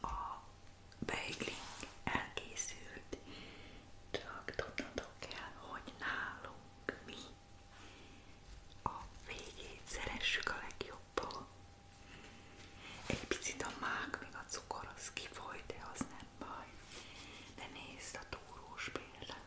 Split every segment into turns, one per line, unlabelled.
A beigling elkészült, csak tudnatok kell, hogy nálunk mi a végét szeressük a legjobban. Egy picit a mák, még a cukor az kifolyt, de az nem baj. De nézd a túrós például.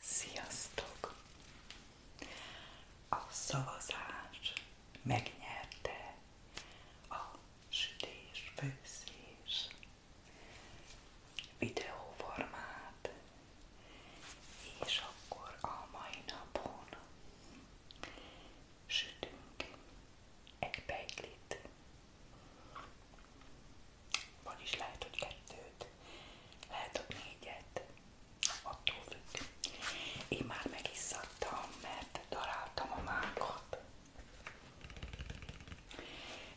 Sziasztok! A szavazás megnyerte a sütés, főzés, videóformát, és akkor a mai napon sütünk egy beiglit, vagyis lehet, hogy kettőt, lehet, hogy négyet, attól függ. Én már megisszadtam, mert daráltam a mákat,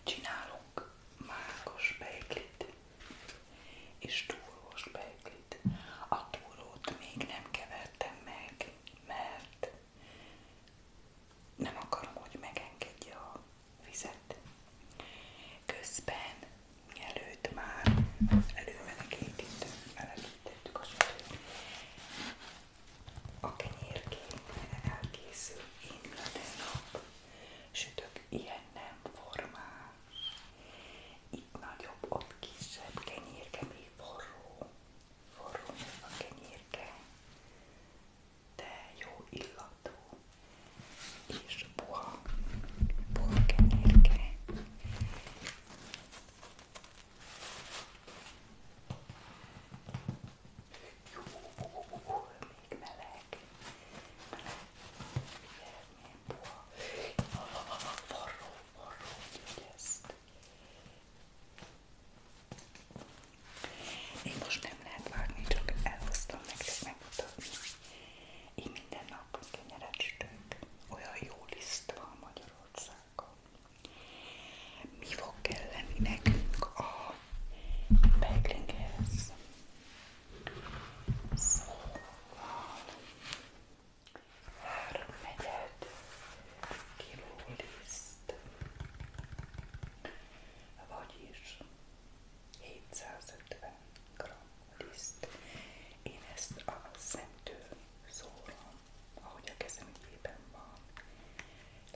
Csinálunk mákos beiglit és túrós beiglit. A túrót még nem kevertem meg, mert nem akarom, hogy megengedje a vizet. Közben mielőtt már előmenekítettük, elelítettük a sütőt a kenyérkénkben elkészül minden nap, sütök ilyen nem formál. Itt nagyobb, ott kisebb kenyérke, még forró. Forró a kenyérke, de jó illatú és puha, puha kenyérke. Jó, még meleg. Meleg. Milyen forró, forró, ezt. Én most nem lehet vágni, csak elhoztam nektek megmutatni. Így minden nap kenyeret sütünk. Olyan jó liszt van Magyarországon drága. Mi fog kelleni nekünk a peglinghez? Szóval három negyed kiló liszt, vagyis 750 g liszt. Én ezt a szemtől szóra ahogy a kezem ügyében van.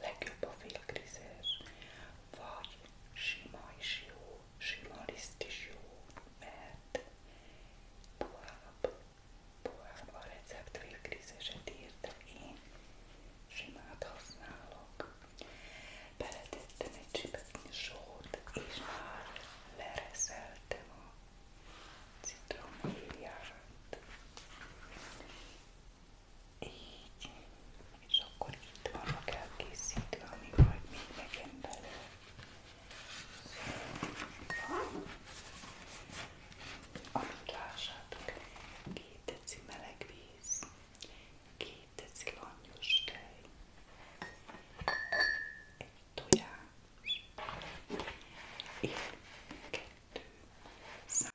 Legjobb a félkrizes, vagy sima is jó, sima liszt is jó, mert tovább, tovább a recept félkrizeset írt, de én simát használok. Beletettem egy csipetnyi sót, és már lereszeltem a citromhéját. Így. És akkor itt vannak elkészítve, ami majd még megyen belőle. Amit lássátok, két deci meleg víz, két deci langyos tej, egy tojás, és kettő 100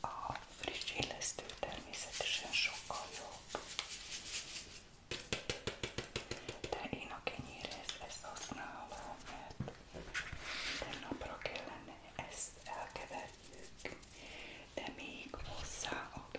A friss illesztő természetesen sokkal jobb, de én a kenyérhez ezt használom, mert napra kellene ezt elkeverjük, de még hozzá a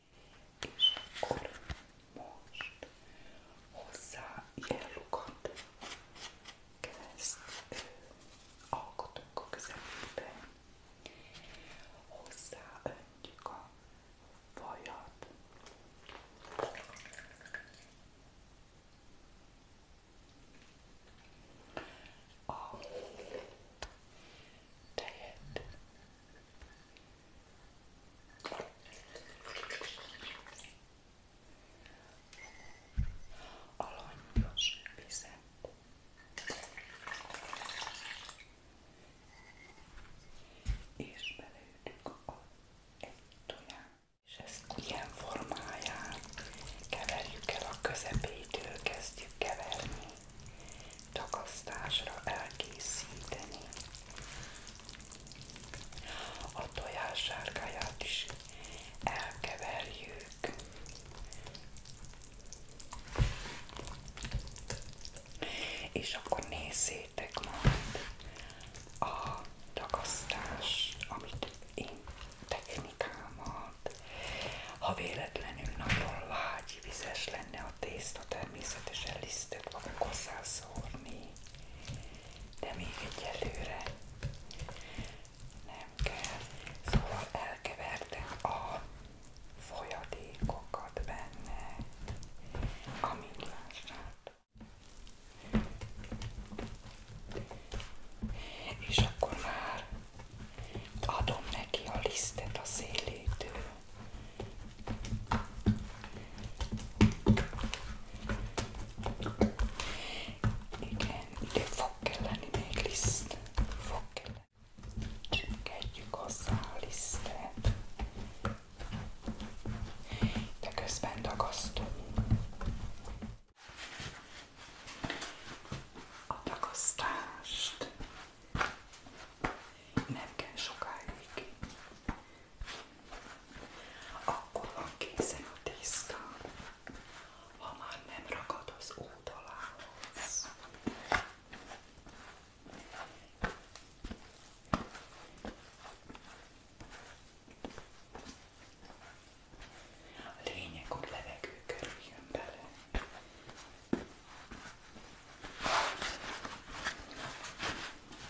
És akkor most hozzá ilyen lukat kereszt alkotunk a közelében. Hozzá öntjük a vajat. A tejet Alanyos vizet. És beleütjük a egy toját. És ezt ilyen formáján keverjük el a közepétől, kezdjük keverni, takasztásra elkészíteni. A tojás sárgáját is elkeverjük. És akkor nézzétek majd a ragasztást, amit én technikámat. Ha véletlenül nagyon lágy, vizes lenne a tészta, természetesen lisztet fogok hozzászórni de még egyelőre nem kell. Szóval elkevertem a folyadékokat benne, amit lássátok. És akkor már adom neki a lisztet a szélétől, igen, ide fog kelleni még liszt. Fog kelleni. Csünketjük hozzá a lisztet. De közben dagasztunk. A dagasztást nem kell sokáig akkor van készen a tészta, ha már nem ragad az oldalához. A lényeg, hogy levegő kerüljön bele.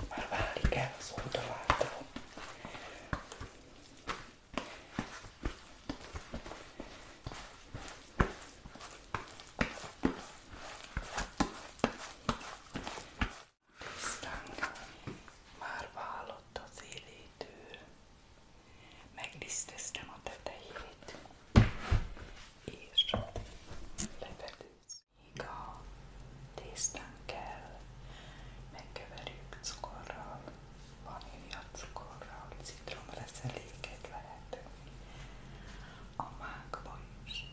Már várni kell az oldalától. Tisztánk már vállott az élétől. Megdiszteztem a tetejét és levedősz. Még a tésztán kell, megkeverjük cukorral, vanília cukorral, citromreszeléket lehet a mákba is,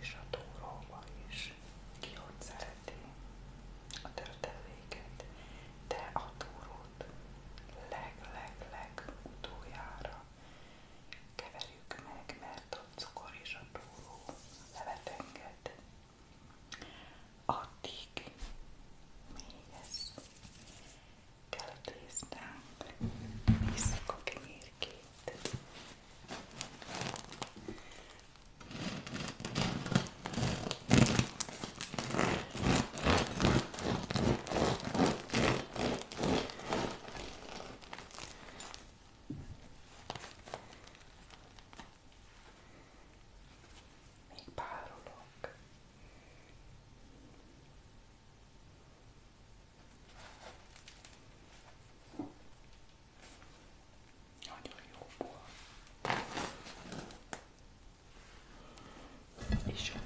és a túróba is, ki ott szereti a törteléket, de a túrót leg-leg-leg utoljára keverjük meg, mert a cukor és a túró levet enged. Addig még ez kell a tésztánk, visszük a kenyérkét. Még párolok. Nagyon jó volt. És jól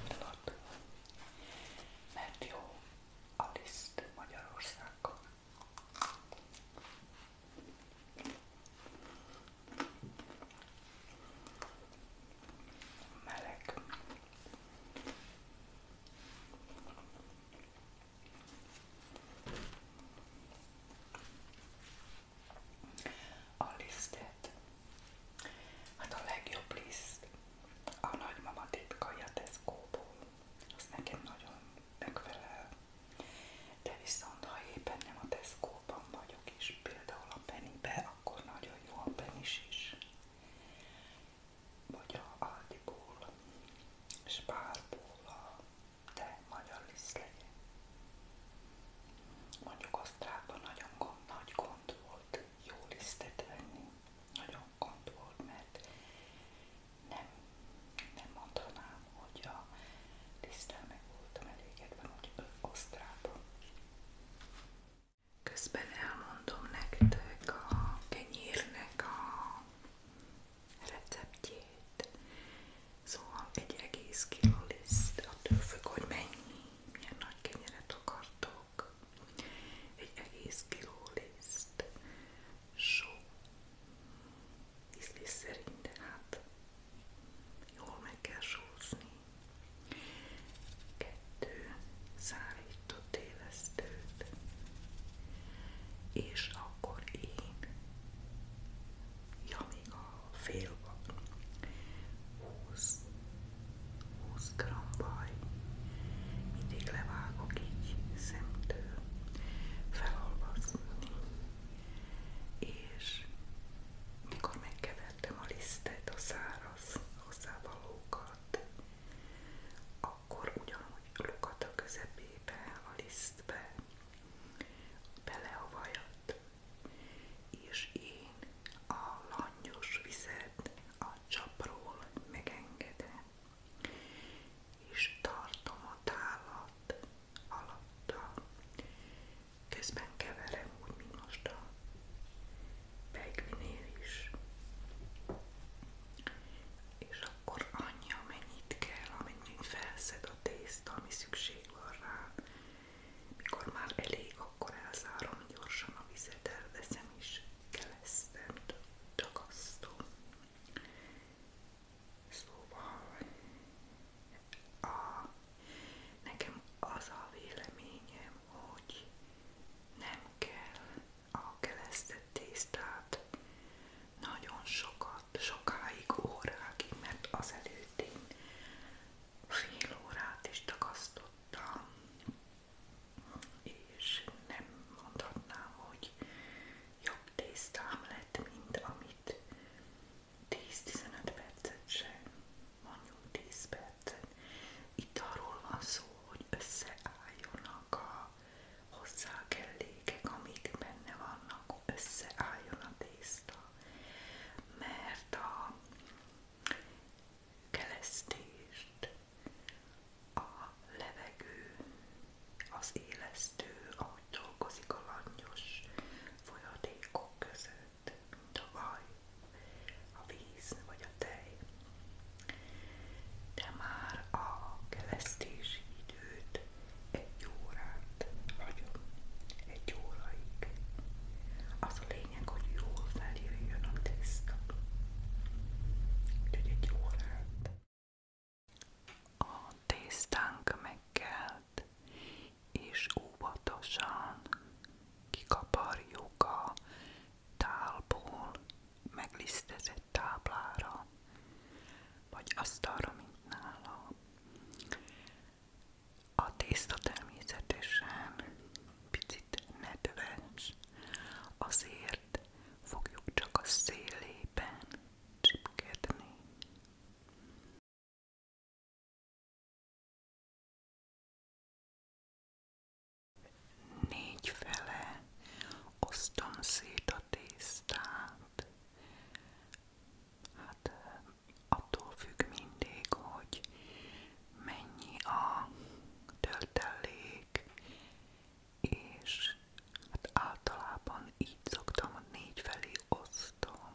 mert jó Aliszt Magyarországon. Meleg. A lisztet, hát a legjobb liszt a nagymama titkai a Tesco-ból, az nekem nagyon megfelel, de viszont ha éppen nem a Tesco-ban vagyok és például a Pennybe, akkor nagyon jó a Penis is, vagy a Aldiból, Spárból a te magyar lisztlegy. Mondjuk osztrákban nagyon gond, nagy gond volt jó lisztet venni, nagyon gond volt, mert nem, nem mondhatnám, hogy a tisztán meg voltam elégedve, hogy Osztrában. Közben elmondom nektek a kenyérnek a receptjét. Szóval egy egész kiló liszt, attól függ, hogy mennyi, milyen nagy kenyeret akartok egy egész kiló liszt, só, ízlés szerint, de hát jól meg kell sózni. Kettő szárított élesztőt, és akkor én, ja még a fél van, húsz 20 g baj. Mindig levágok így szemtől, felolvasni. És mikor megkevertem a lisztet, a száraz hozzávalókat, akkor ugyanúgy lukat a közepébe, a lisztbe, belehavajadt, és én a langyos vizet a csapról megengedem és tartom a tálat alatta. Közben keverem úgy, mint most a pegvinél is. És akkor annyi, amennyit kell, amennyit felszed a tészta, ami szükség van rá. Mikor már elég, akkor elzárom gyorsan a vizet, elveszem is kelesztem, ragasztó. Szóval a, nekem az a véleményem, hogy nem kell a kelesztett tésztát nagyon sokat, sokáig, órákig, mert azelőtt én fél órát is takasztottam, és nem mondhatnám, hogy jobb tésztám lett, mint amit 10-15 percet sem, mondjuk 10 percet. Itt arról van szó, hogy összeálljonak a hozzá kellékek, amik benne vannak, összeálljon a tészta, mert a kelesztést a levegő, az élesztő, ahogy dolgozik a langyos folyadékok között, mint a vaj, a víz vagy a tej. De már a kelesztési időt egy órát hagyom, egy óraig. Az a lényeg, hogy jól felírjon a tészta. Úgyhogy egy órát a tésztánk megkelt, és óvatosan kikaparjuk a tálból meglisztezett táblára, vagy asztalra, A tészta természetesen picit nedves, azért embert fogjuk csak a szélében csipkedni. Négy fele osztom szét a tésztát. Hát attól függ mindig, hogy mennyi a töltelék, és hát általában így szoktam, négy felé osztom,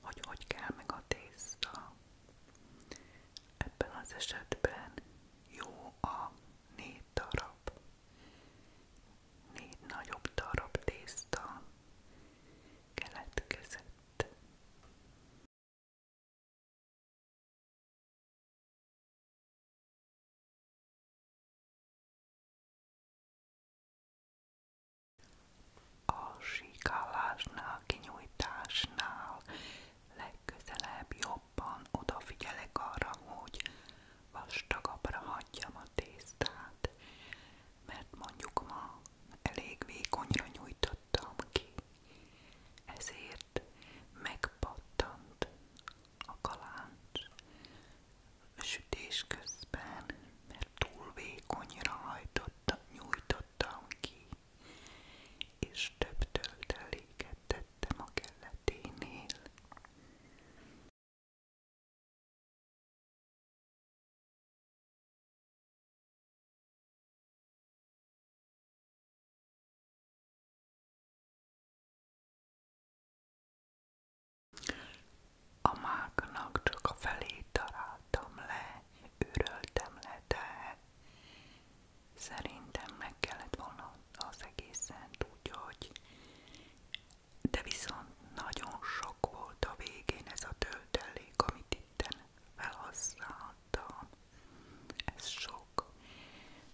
hogy hogy kell meg a tészta. Ebben az esetben jó a négy darab, négy nagyobb darab tészta keletkezett. A síkálásnál, kinyújtásnál legközelebb jobban odafigyelek arra, hogy vastagabbra hagyjam a tésztát, mert mondjuk ma elég vékonyra nyújtottam ki, ezért megpattant a kalács sütés közben, mert túl vékonyra hajtotta, nyújtottam ki, és több tölteléket tettem a kelleténél. A máknak csak a le, őröltem le, szerintem meg kellett volna az egészen tudja, hogy de viszont nagyon sok volt a végén ez a töltelék, amit itten felhasználtam. Ez so sok,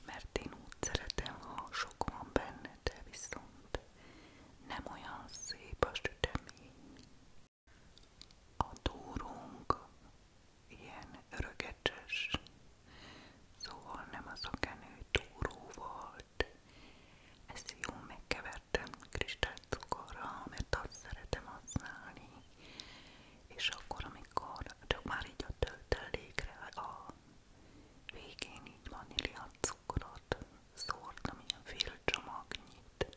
mert én úgy szeretem, ha sok van benne, de viszont nem olyan szép a sütemény. A túrunk ilyen örögecses, szóval nem az a kenő túró volt. Ezt jó megkevertem kristálycukorral, mert azt szeretem használni. És akkor, amikor csak már így a töltelékre, a a végén vanília cukrot szórtam, ilyen fél csomagnyit,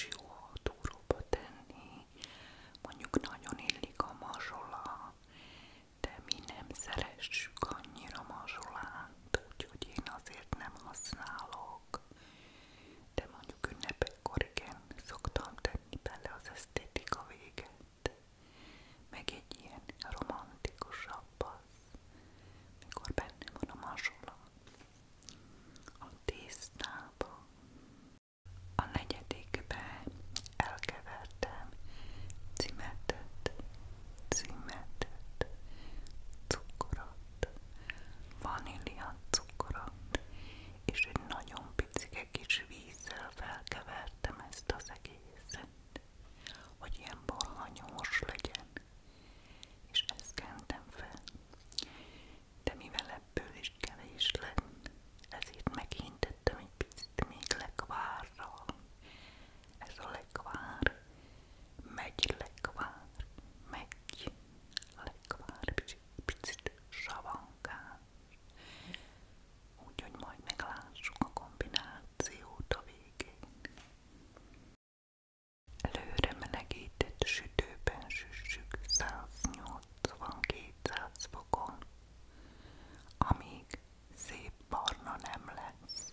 jó a tenni, mondjuk nagyon illik a mazsola, de mi nem szeressük annyira mazsolát, úgyhogy én nem használom de mondjuk ünnepekkor igen, szoktam tenni bele az esztétika véget, meg egy ilyen romantikusabb az, mikor benne van a mazsola, a tésztába. A negyedikbe elkevertem cimetet, cimetet, cukrot, vanília van cukora, és egy nagyon picike kis vízzel felkevertem ezt az egészet, hogy ilyen borhanyós legyen, és ezt kentem fel. De mivel ebből is kevés lett, ezért meghintettem egy picit még lekvárra. Ez a lekvár, megy lekvár, megy lekvár, és egy picit savankáns, úgyhogy majd meglássuk a kombinációt a végén. Előre melegített sütőben süssük 180-200 fokon, amíg szép barna nem lesz.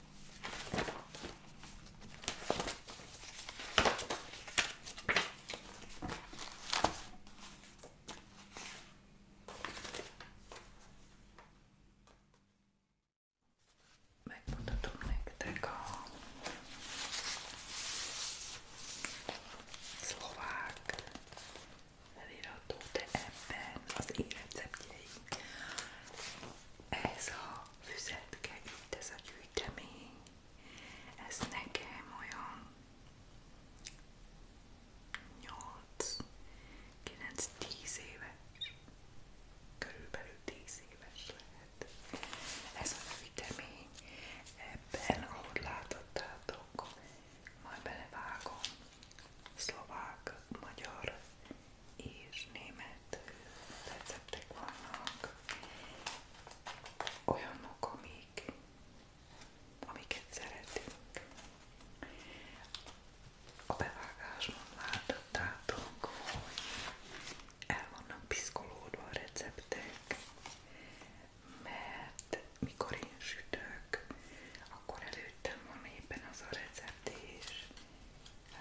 Megmutatom nektek a szlovák felirató, de ebben az én receptjeim. Ez a füzetke, itt ez a gyűjtő kőkemény, ez nekem olyan 8-9-10 éves, körülbelül 10 éves lehet. Ez a kőkemény, ebben ahogy látottátok, majd belevágom szlovák, magyar és német elérhető receptek vannak, olyanok, amik, amiket szeretünk. A bevágásban láttátok, hogy el vannak piszkolódva a receptek, mert mikor én sütök, akkor előttem van éppen az a recept és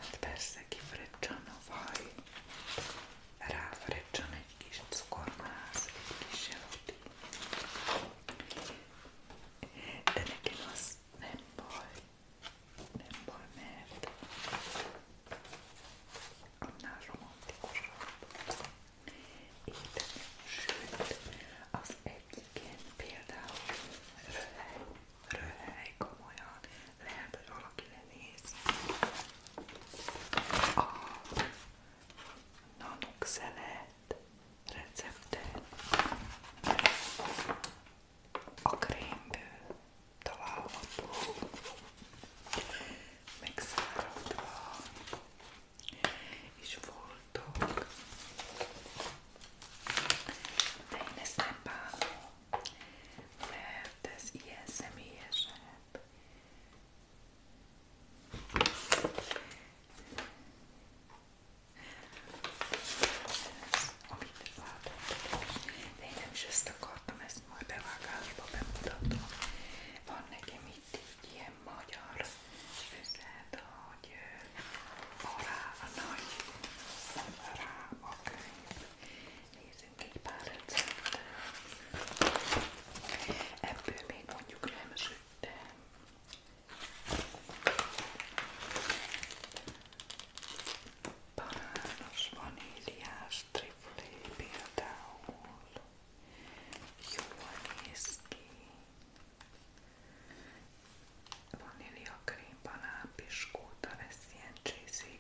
Hát persze kifröccsen a vaj, ráfröccsen egy kis cukormász, egy kis jeloti. De nekem az nem baj, nem baj, mert annál romantikusabb éteni. Sőt, az egyiken például röhely, röhely komolyan, lehet, hogy valaki lenéz a nanoxelet receptet a krémből található megszáradva és voltok de én ezt nem bánom mert ez ilyen személyesebb. Ez, amit de én nem is ezt akartam, ezt majd bevágásba bemutatom. Van nekem itt egy ilyen magyar üzlet, hogy a rá a nagy, rá a könyv, Nézzünk egy pár receptet. Ebből még mondjuk nem süttem. Banános, vaníliás triflé például. Jól néz ki. Vanília krém, banán, piskóta, ez ilyen cheesy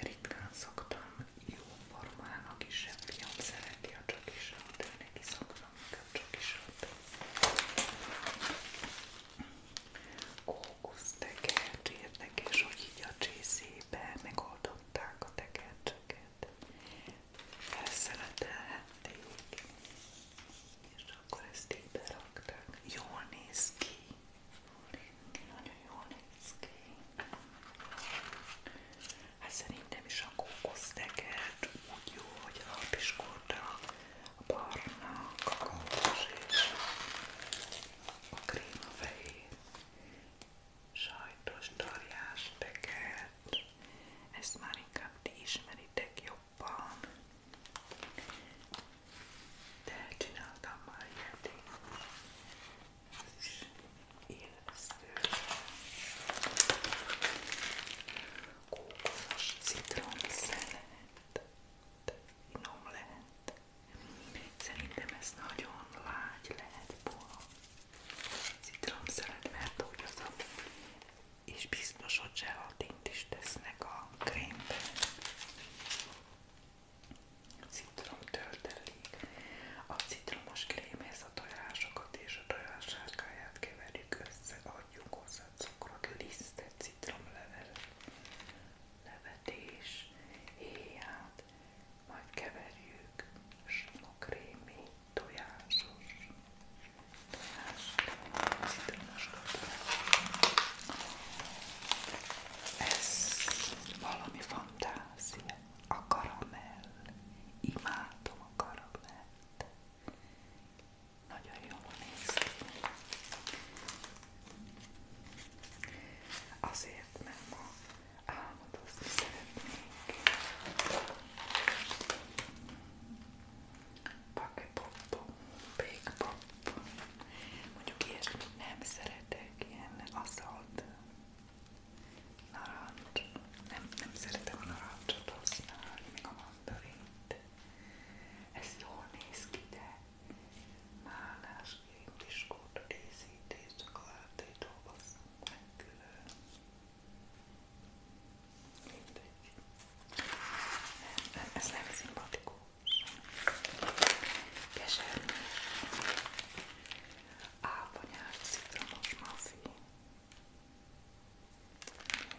ritkán szoktam jó formának is, a fiam szereti a csokisat, ő neki szoktam a csokisat. Kókusztekercs érdekes, hogy így a csészébe megoldották a tekercseket. Felszeletelhették, és akkor ezt így berakták. Jól néz ki, nagyon jól néz ki. Hát szerintem is a kókuszteget úgy jó, hogy a piskorta, a barna, kakaós és a krémafehér sajtos tarjás teget. Ezt már inkább ti ismeritek jobban de csináltam már ilyet is élesztő kókolos citrom szelet finom lehet szerintem ez nagyon lágy lehet puha citrom szelet, mert úgy az a és biztos, hogy zselatint is tesznek a krémbe citrom töltelék. A citromos krémhez a tojásokat és a tojássárkáját keverjük össze, adjuk hozzá cukrot, lisztet, citromlevelet, levet és héját, majd keverjük sonokrémi, tojásos, tojás, citromos tojás. Ez valami fantázia, a karamell, imádom a karamellt. Nagyon jól néz ki. Azért, mert ma álmodozni szeretnék. Pakepop, pékpop. Mondjuk ilyesmit nem szeretek ilyen aszalt narancs. Nem, nem szeretem a narancsot használni, még a mandarint. Ez jól néz ki, de málásként is kóta készítés, csak a látétól basszunk meg külön. Mindegy. Nem, ez nem szimpatikus kesernyés, áponyás, citromos mafi.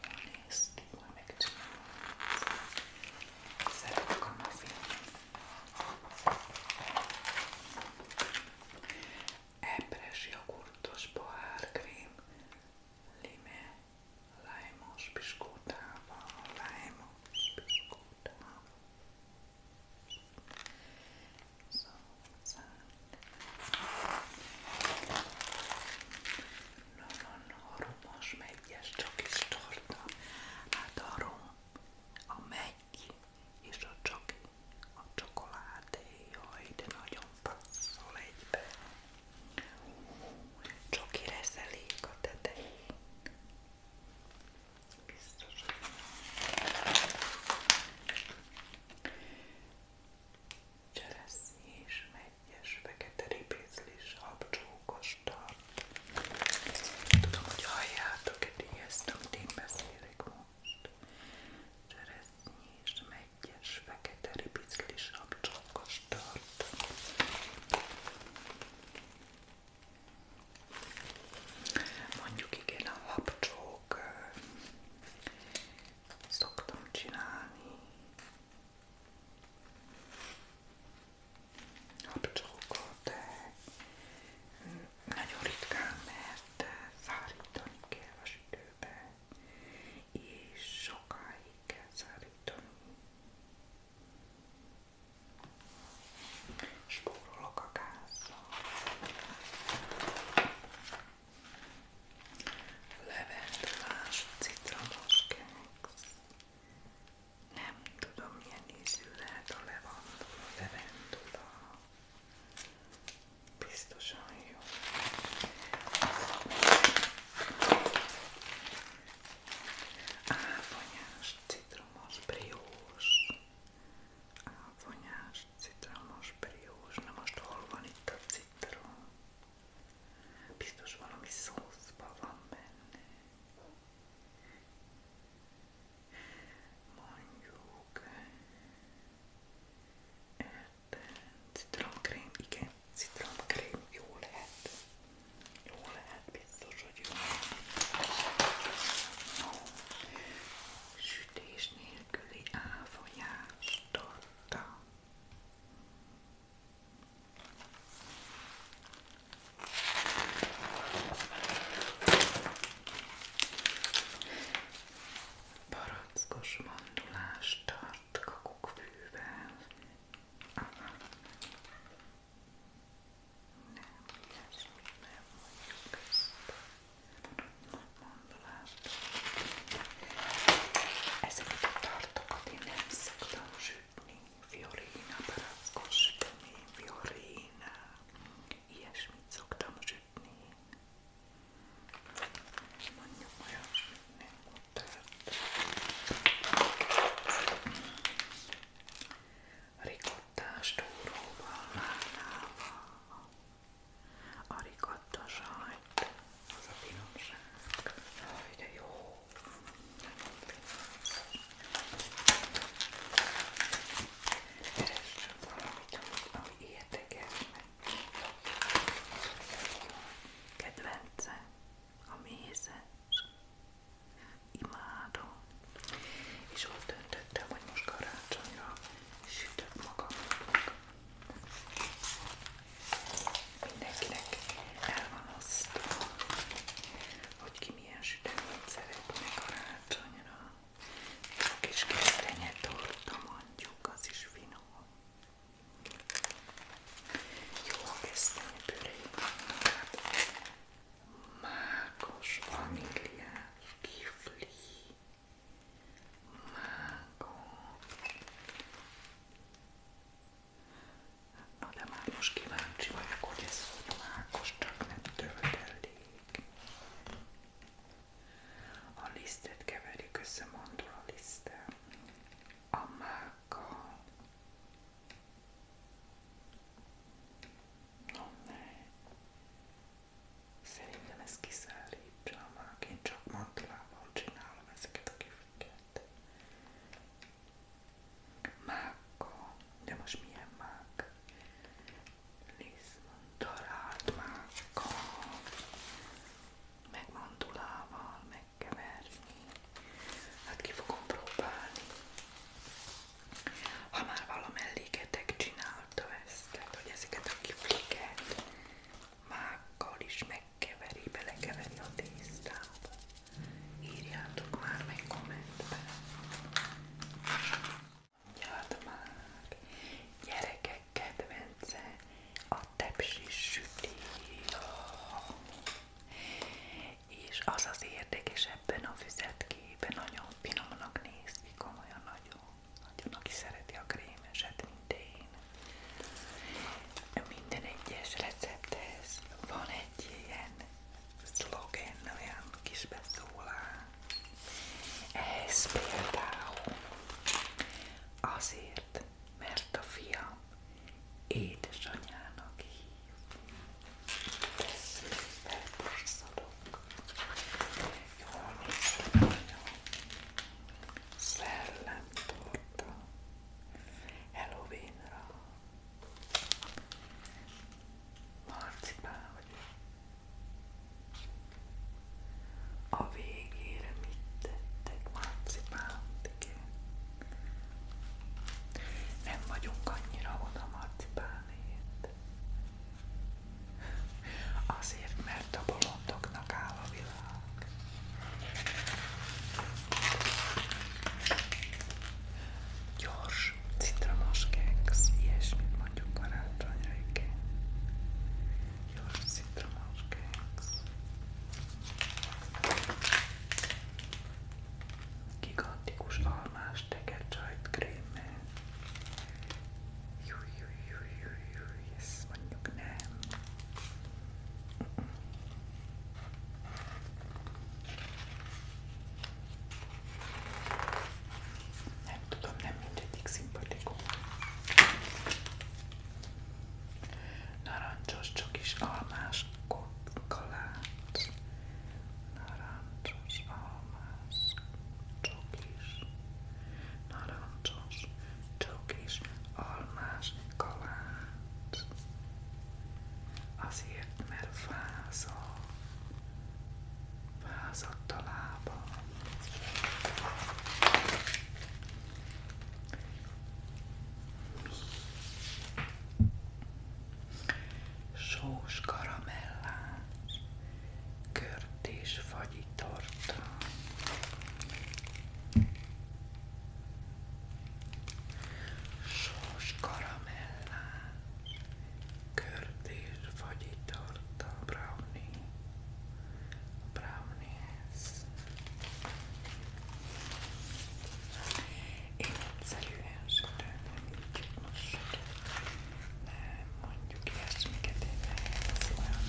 Jól néz ki, majd megcsinálom. Szeretek a mafi. Epres, jogurtos, pohárkrém, lime, lájmos piskótával, lájmos piskótával. So, no, no, no, romos megyes, csak is torta. Hát a rom, a megy és a csoki, a csokoládé, jaj, de nagyon passzol egybe. Csoki reszelék a tetején, Biztos. Cseresznyi és megyes, fekete ribézlis, habcsókos tart. Tudom, hogy halljátok, eddig ezt, amit én beszélek most. Cseresznyi és megyes, fekete ribézlis, habcsókos tart. Mondjuk igen, a lapcsók szoktam csinálni. Lapcsókot, de nagyon ritkán, mert szárítani kell a sütőbe, és sokáig kell szárítani. Spórolok a gázzal. Levendulás, citromos keksz. Nem tudom milyen ízű lehet a levendula. levendula. Biztosan jó. Áfonyás, citromos, briós. Áfonyás, citromos, briós, na most hol van itt a citrom? Biztos valami szószban van benne. Mondjuk... Citromkrém, igen, citromkrém, jó lehet. Jó lehet, biztos, hogy jó. Sütés nélküli áfonyás torta. Barackos mandulás tart kakukkfűvel. Aha. Ezt még nem mondjuk ezt. Ezeket a tartokat én nem szoktam sütni. Fiorina, barackos sütemény, Fiorina. Ilyesmit szoktam sütni. Mondjuk olyasmit nem mutat rikottás túróval, márnával, a rikotta sajt, az a finomság. Jaj, de jó! Keressünk valamit, ami érdekes, Kedvence, a mézes imádom. És ott döntöttem, hogy most karácsonyra sütök magamnak. Mindenkinek el van osztva, hogy ki milyen süteményt szeretne karácsonyra. És a kis kesztenye torta mondjuk, az is finom. Jó a kesztenye püré, hát mákos vaníliás kifli, mákos. Na de már most kíváncsi vagyok, hogy ez hogy mákos, csak nem töltelék. A lisztet keverik össze mandula liszttel, a mákkal. No, ne. Szerintem ez kiszállítsa, már én csak maglában csinálom ezeket a kifliket. Máka, de most milyen mák? Liszmon, talált máka, meg mandulával megkeverni. Hát ki fogom próbálni ha már valamelléketek csinálta ezt, tehát hogy ezeket a kifliket mákkal is megkeveri, belekeveri a tésztába. Írjátok már meg kommentben. Mondjad gyerekek kedvence a tepsis süti. És az az érdekes ebben a füzetkében, nagyon finomnak néz ki, komolyan nagyon. Nagyon, aki szereti a krémeset, mint én. Minden egyes recepthez van egy ilyen szlogen, olyan kis beszólás. Ez például azért, mert a fiam édesanyának hív. Persze, felborszolok. Jól néz Szellemtorta Halloweenra Marcipán vagy A végére mit tettek marcipánt, igen Nem vagyunk annyira oda marcipánért Azért, mert a bolondoknak áll a világ. Gyors, citromos keksz, ilyesmit mondjuk karácsonyra, igen. Gyors, citromos keksz. Gigantikus almás tekercsajt krémmel. yes, manyog na. Nem tudom, nem mindegyik szimpatikus. Narancsos, csak is almás, kokolát, naranchos, almas, chokis, naranchos, chokis, almas, kalács. Azért, mert fázol, fázadt a lába. Sós karamellás, kört és fagyitort. Sós karamellás, kört és fagyitort a brownie. A brownies. Én egyszerűen sütöm, így most sütöm nem mondjuk ilyesmiket, én ehhez olyan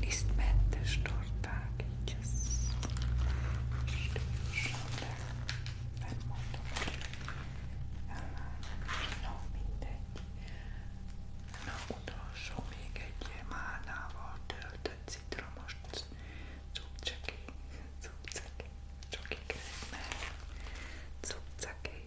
lisztmentes torták, így ez stílusom, de nem mondom, hogy no, mindegy. Na, utolsó még egy málnával töltött citromos cukceki, cukceki, csokik, mert cukceki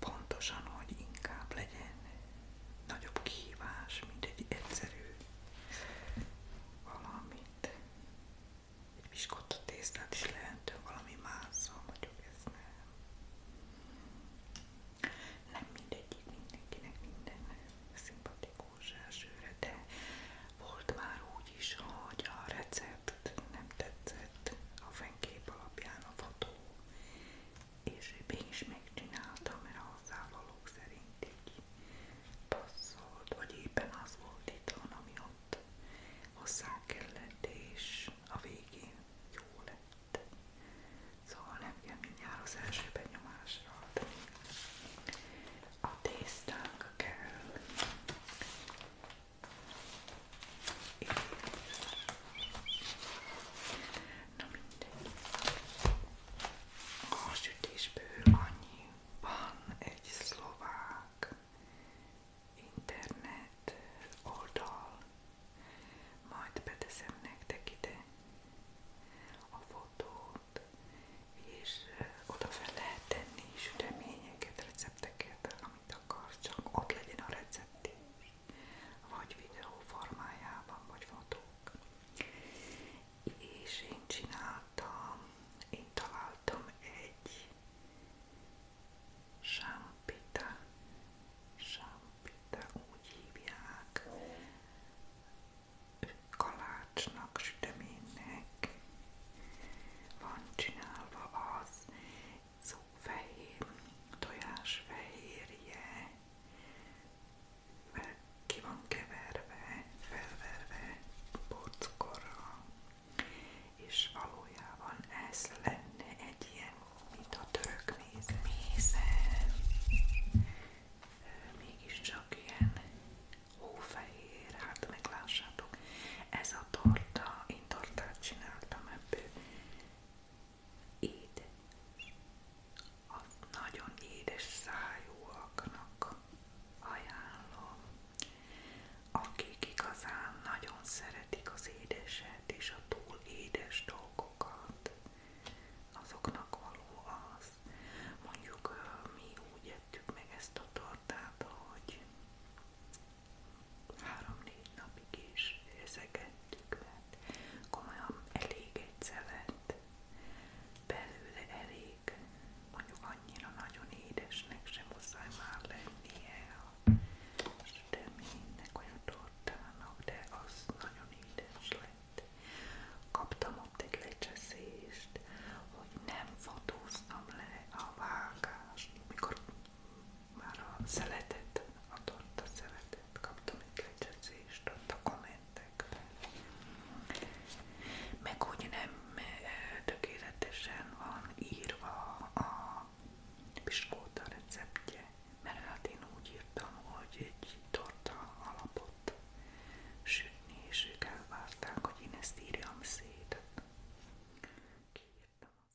pontosan, hogy inkább legyen nagyobb kihívás, mint egy egyszerű valamit. Egy piskotta tésztát is lehetünk valami másszal, mondjuk ez nem. Nem mindegyik mindenkinek minden szimpatikus elsőre, de volt már úgy is, hogy a recept nem tetszett a fénykép alapján a fotó, később is megcsináltam, mert a hozzávalók szerint így passzolt, vagy éppen az volt itthon, ami ott hozzá kellett, és a végén jó lett. Szóval nem kell mindjárt az első benyomásra adni. A tésztánk kell. És Na mindegy. A sütésből annyi van egy szlovák internet oldal. Majd beteszem nektek ide a fotót, és oda fel lehet tenni süteményeket, recepteket, amit akarsz, csak ott legyen a recept is vagy videó formájában, vagy fotók. És én csináltam, én találtam egy sámpita, sámpita úgy hívják, kalácsnak, süteménynek van csinálva az szófehér, tojásfehérje, ki van keverve, felverve bockorra, és valójában ez lenne egy ilyen, mint a török méz, mézen, mégiscsak ilyen hófehér, hát meglássátok, ez a torta, én tortát csináltam ebből, édes, a nagyon édes szájúaknak ajánlom, akik igazán nagyon szeretik az édeset és a túl édes dolgokat, azoknak való az. Mondjuk mi úgy meg ezt a tortát, hogy három-négy napig is ezeket eddig, mert komolyan elég egyszer elég, mondjuk annyira nagyon édesnek sem már lennie a süteménynek, olyan tortának, de az nagyon édes lett. Kaptam ott egy lecseszést, hogy nem fotóztam le a vágást, mikor már a szeletet, a torta szeletet kaptam egy lecsezést ott a kommentekben. Meg úgy nem e, tökéletesen van írva a piskóta receptje, mert hát én úgy írtam, hogy egy torta alapot sütni, és ők elvárták, hogy én ezt írjam szét. Kiírtam.